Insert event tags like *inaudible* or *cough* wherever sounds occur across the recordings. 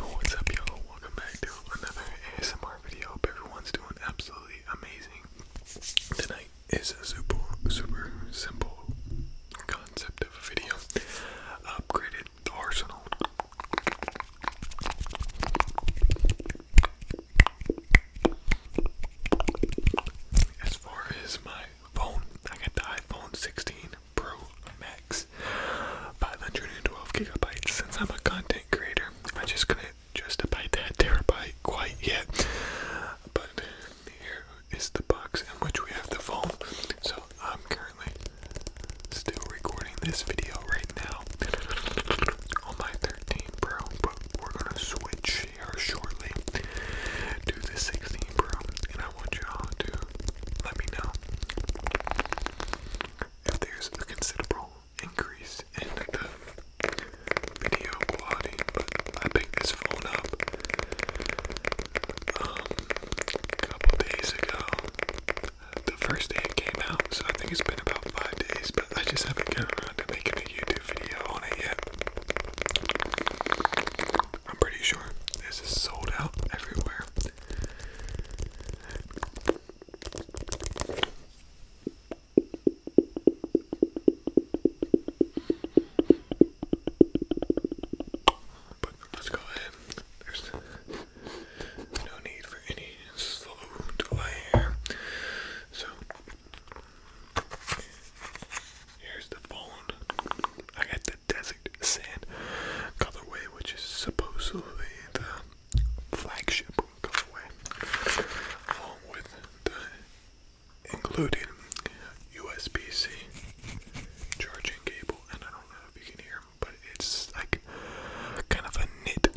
What's up, y'all? Welcome back to another ASMR video. everyone's doing absolutely amazing. Tonight is a super, super simple concept of a video. Upgraded Arsenal. As far as my phone. I got the iPhone 16 Pro Max, 512 gigabytes. Since I'm a content creator, I am just couldn't justify that terabyte quite yet. But here is the box in which we have the phone. So I'm currently still recording this video right now on my 13 Pro, but we're gonna switch here shortly to the 16 Pro, and I want y'all to let me know if there's a considerable increase in the video quality. But I picked this phone up a um, couple days ago, the first day it came out, so I think it's been about five days, but I just haven't gotten around to making a YouTube video on it yet. I'm pretty sure this is sold out everywhere. let's go ahead. There's no need for any slow delay So Here's the phone. I got the Desert Sand colorway, which is supposedly the flagship colorway, along with the USB-C charging cable. And I don't know if you can hear, but it's like kind of a knit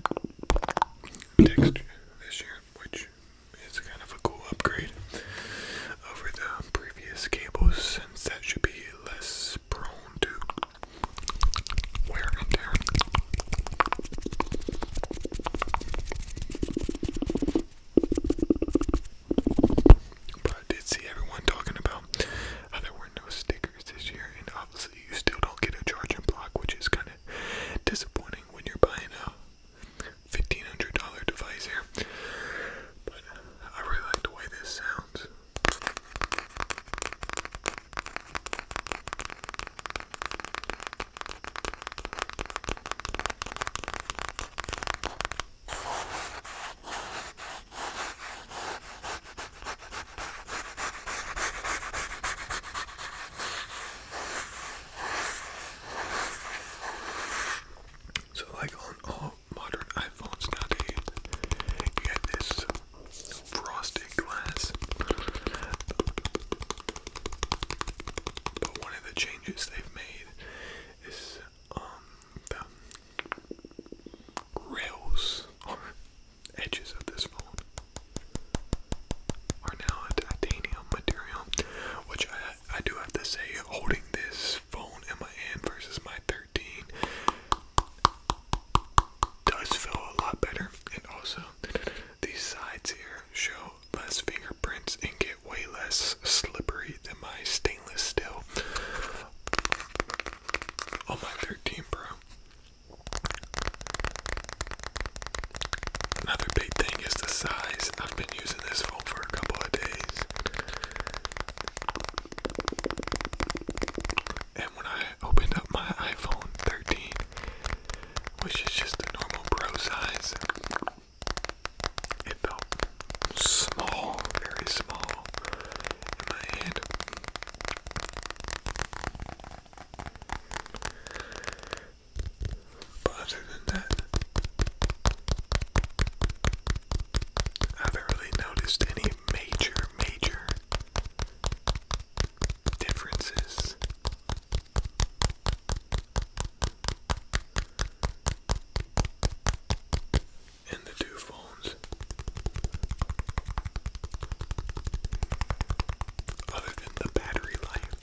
texture this year which is kind of a cool upgrade over the previous cables, since that should be less prone to wear and tear. But I did see everyone talking about how there were no stickers this year, and obviously you still don't get a charging block, which is kind of disappointing when you're buying a $1,500 device here. But I really like the way this sounds. So, like on all modern iPhones nowadays, you have this frosted glass. But one of the changes they've made is um, the rails or edges of this phone are now a titanium material, which I I do have to say, holding this phone in my hand versus my 13 does feel a lot better. And also, these sides here show less fingerprints and get way less slippery than my stainless steel Oh my 13 bro. Another big thing is the size. I've been using this phone for a couple of days. And when I opened up my iPhone 13, which is just a normal pro size, it felt small, very small in my hand. But other than that, I haven't really noticed any major, major differences. And the two phones, other than the battery life,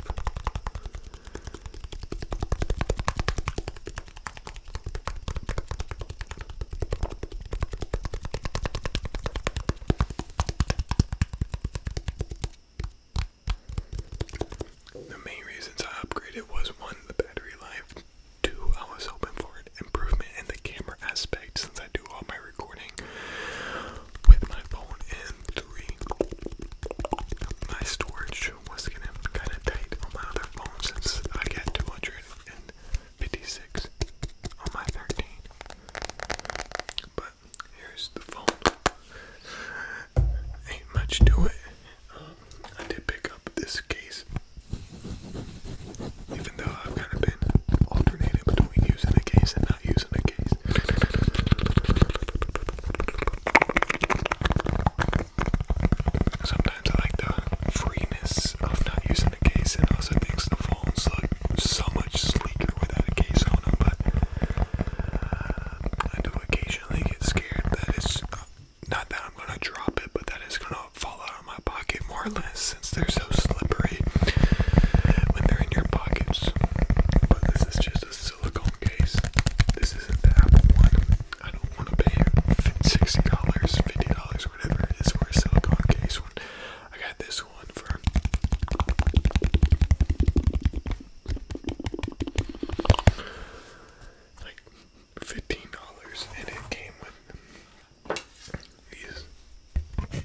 the main reasons I upgraded was one, the battery life, two, I was hoping for an improvement in the camera aspect since I do all my recording with my phone M3. My storage was getting kind of tight on my other phone since I got 256 on my 13. But here's the phone. Ain't much to it. Um, I did pick up this case, even though I've kind of been alternating between using a case and not using a case. Sometimes I like the freeness of not using a case, and also makes the phones look so much sleeker without a case on them. But uh, I do occasionally get scared that it's not that I'm gonna drop it, but that it's gonna fall out of my pocket more or less, since they're so slippery when they're in your pockets. But this is just a silicone case. This isn't the Apple one. I don't want to pay $60, $50, whatever it is for a silicone case one. I got this one for like $15 and it came with these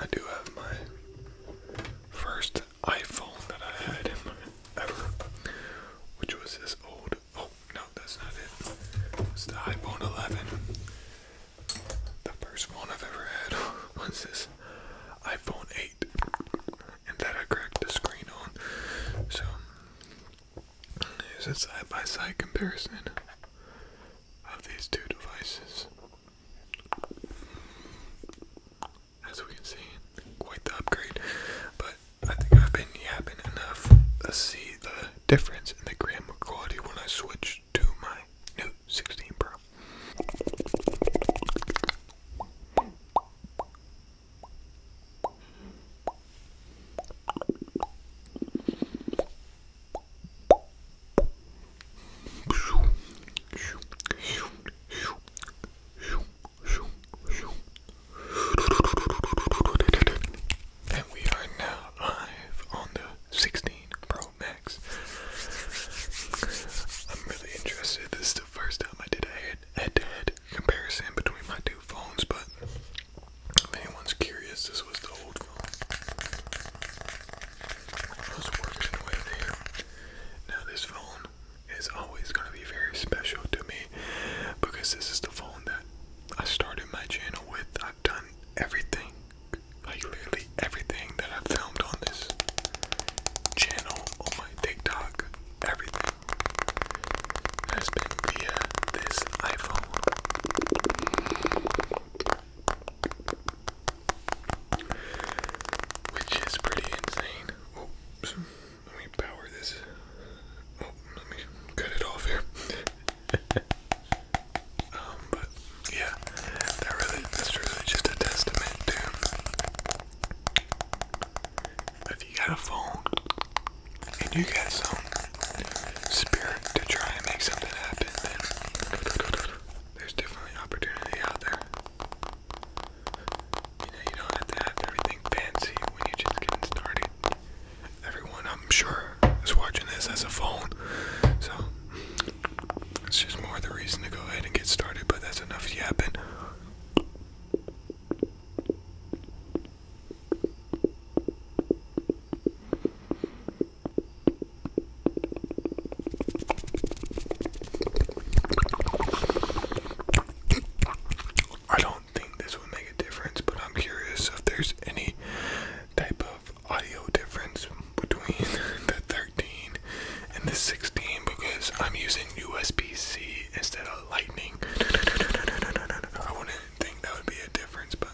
I do have my first iPhone that I had ever, which was this old. Oh no, that's not it. It's the iPhone 11. The first one I've ever had *laughs* was this iPhone 8, and that I cracked the screen on. So here's a side by -side comparison of these two devices as we can see, quite the upgrade. But I think I've been yapping enough to see the difference in the camera quality when I switch to my new 16 Pro. And we are now live on the 16 Pro Max. I'm really interested. This is the first time I did a head to head comparison between my two phones, but if anyone's curious, this was the old phone. Now this phone is always going to be very special to me because this is the phone that I started my channel with. I've done everything, like literally everything that I've filmed on this channel, on my TikTok, everything has been via this iPhone. Which is pretty insane. Oh, let me power this. Oh, let me cut it off here. *laughs* um, but yeah, that really, that's really just a testament to if you got a phone and you got some spirit to try and make something happen, then there's definitely opportunity out there. You don't have to have everything fancy when you're just getting started. Everyone, I'm sure, is watching this as a phone, so it's just more the reason to go ahead and get started. But that's enough yapping. I don't think this will make a difference, but I'm curious if there's any type of audio difference between *laughs* the 13 and the 16 because I'm using USB C instead of Lightning. *laughs* I wouldn't think that would be a difference, but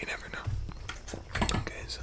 you never know. Okay, so.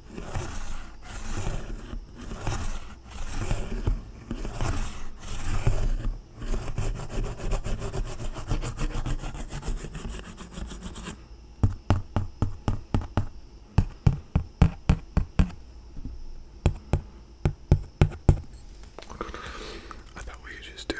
I thought we could just do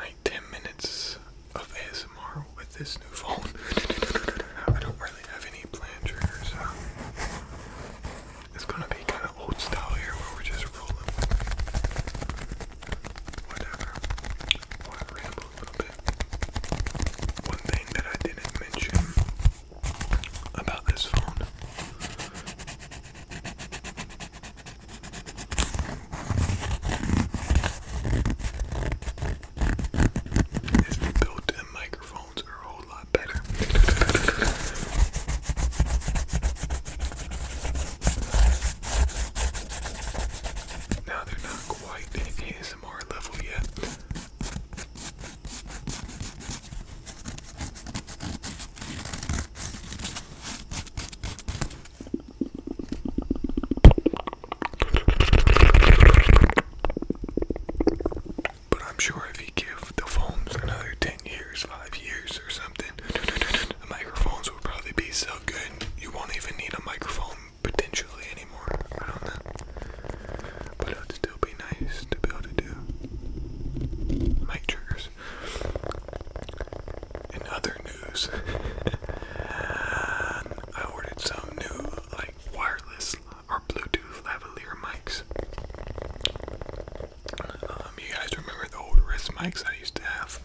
I 10 minutes of ASMR with this new phone. *laughs* I don't really have any plan so it's gonna be kind of old style here where we're just rolling whatever, I ramble a little bit. One thing that I didn't mention about this phone is built-in microphones are a whole lot better. Now they're not quite in ASMR level yet. But I'm sure if you give the phones another 10 years, 5 years, or something, the microphones will probably be so good you won't even need a microphone potentially anymore. I don't know. But it would still be nice to be able to do mic triggers. In other news, *laughs* I ordered some new like wireless or Bluetooth lavalier mics. Um, you guys remember the old wrist mics I used to have?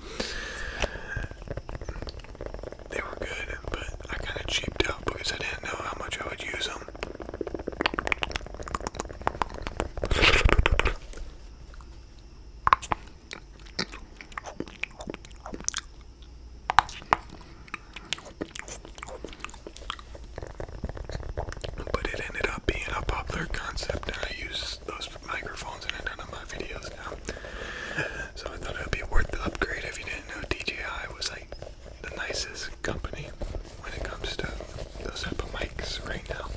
They were good, but I kind of cheaped out because I didn't know how much I would use them. But it ended up being a popular concept, and I used those microphones in a ton of my videos now. So I thought it would be worth the upgrade if you didn't know DJI was like the nicest company when it comes to those type of mics right now.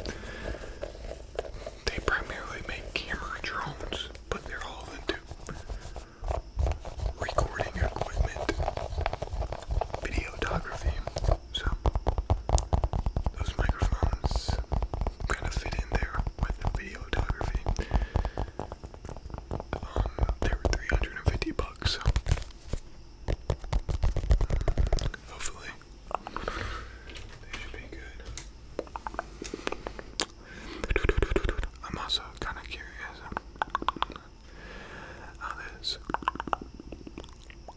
They primarily make camera drones, but they're all into recording equipment, videography, so those microphones kind of fit in there with the video photography. Um, they were 350 bucks. Um, hopefully, they should be good. I'm also kind of curious um, how this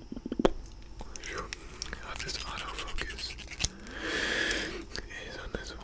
How this autofocus is on this one.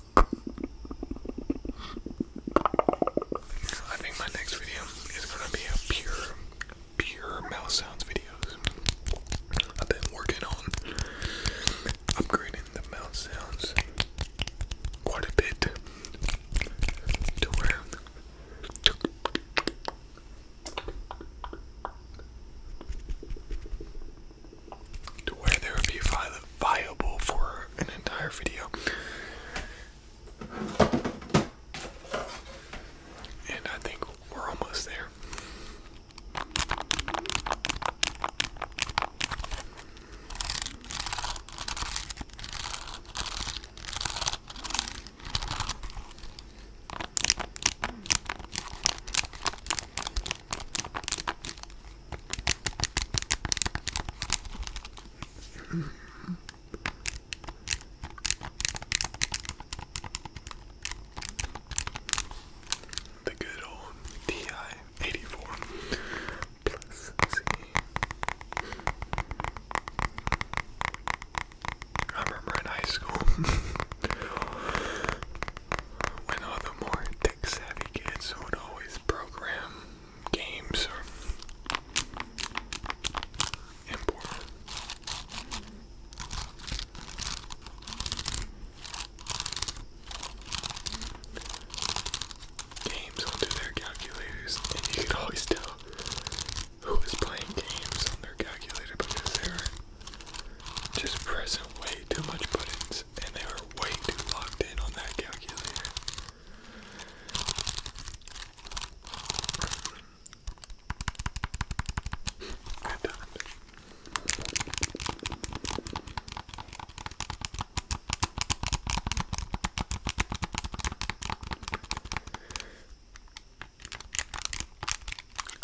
I think my next video is gonna be a pure, pure mouse sounds videos. I've been working on upgrading the mouse sounds quite a bit. To where to where they would be viable for an entire video. And I think we're almost there. The good old TI-84 plus C. I remember in high school *laughs* when all the more tech savvy kids would always program games or import. Games onto their calculators, and you can always tell who is playing games on their calculator because they were just pressing way too much buttons and they were way too locked in on that calculator calculator. I don't.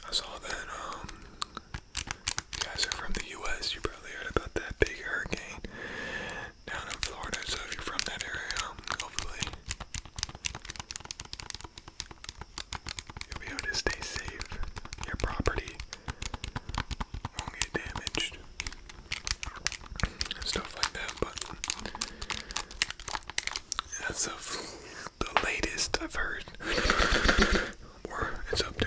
I saw that um you guys are from the U.S. You probably heard about that big hurricane down in Florida. So if you're from that area, um, hopefully you'll be able to stay safe. Your property won't get damaged, and stuff like that. But that's of the latest I've heard. *laughs* it's up to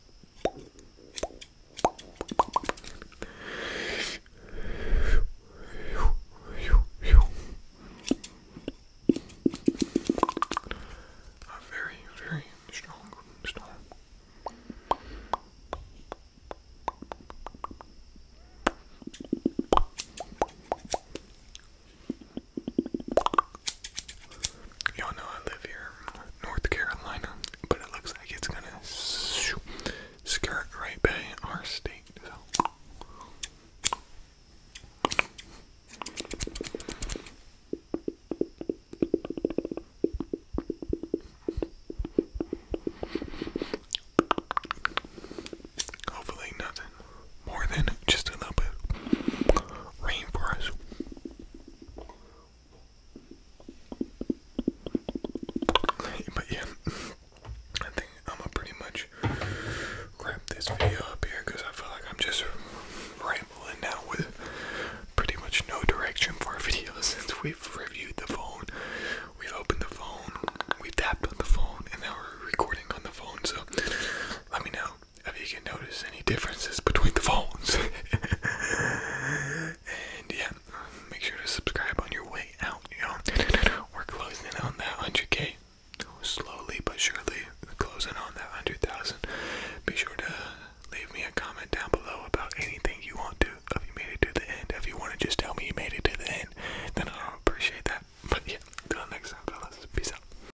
A very, very strong storm. Y'all know I live here North Carolina, but it looks like it's gonna skirt right by our state. So. Hopefully, nothing more than just a little bit rain for us. *laughs* But yeah, I think I'm gonna pretty much wrap this video up here because I feel like I'm just rambling now with pretty much no direction for our *laughs* since we've reviewed the phone, we've opened the phone, we've tapped on the phone, and now we're recording on the phone. So let me know if you can notice any differences between the phones. *laughs* and yeah, make sure to subscribe on your way out, you know. We're closing in on that 100k. Slowly but surely, closing on that 100,000. Be sure to leave me a comment down below about anything you want to. If you made it to the end, if you want to just tell me you made it to the end, then i appreciate that. But yeah, until next time, fellas. Peace out.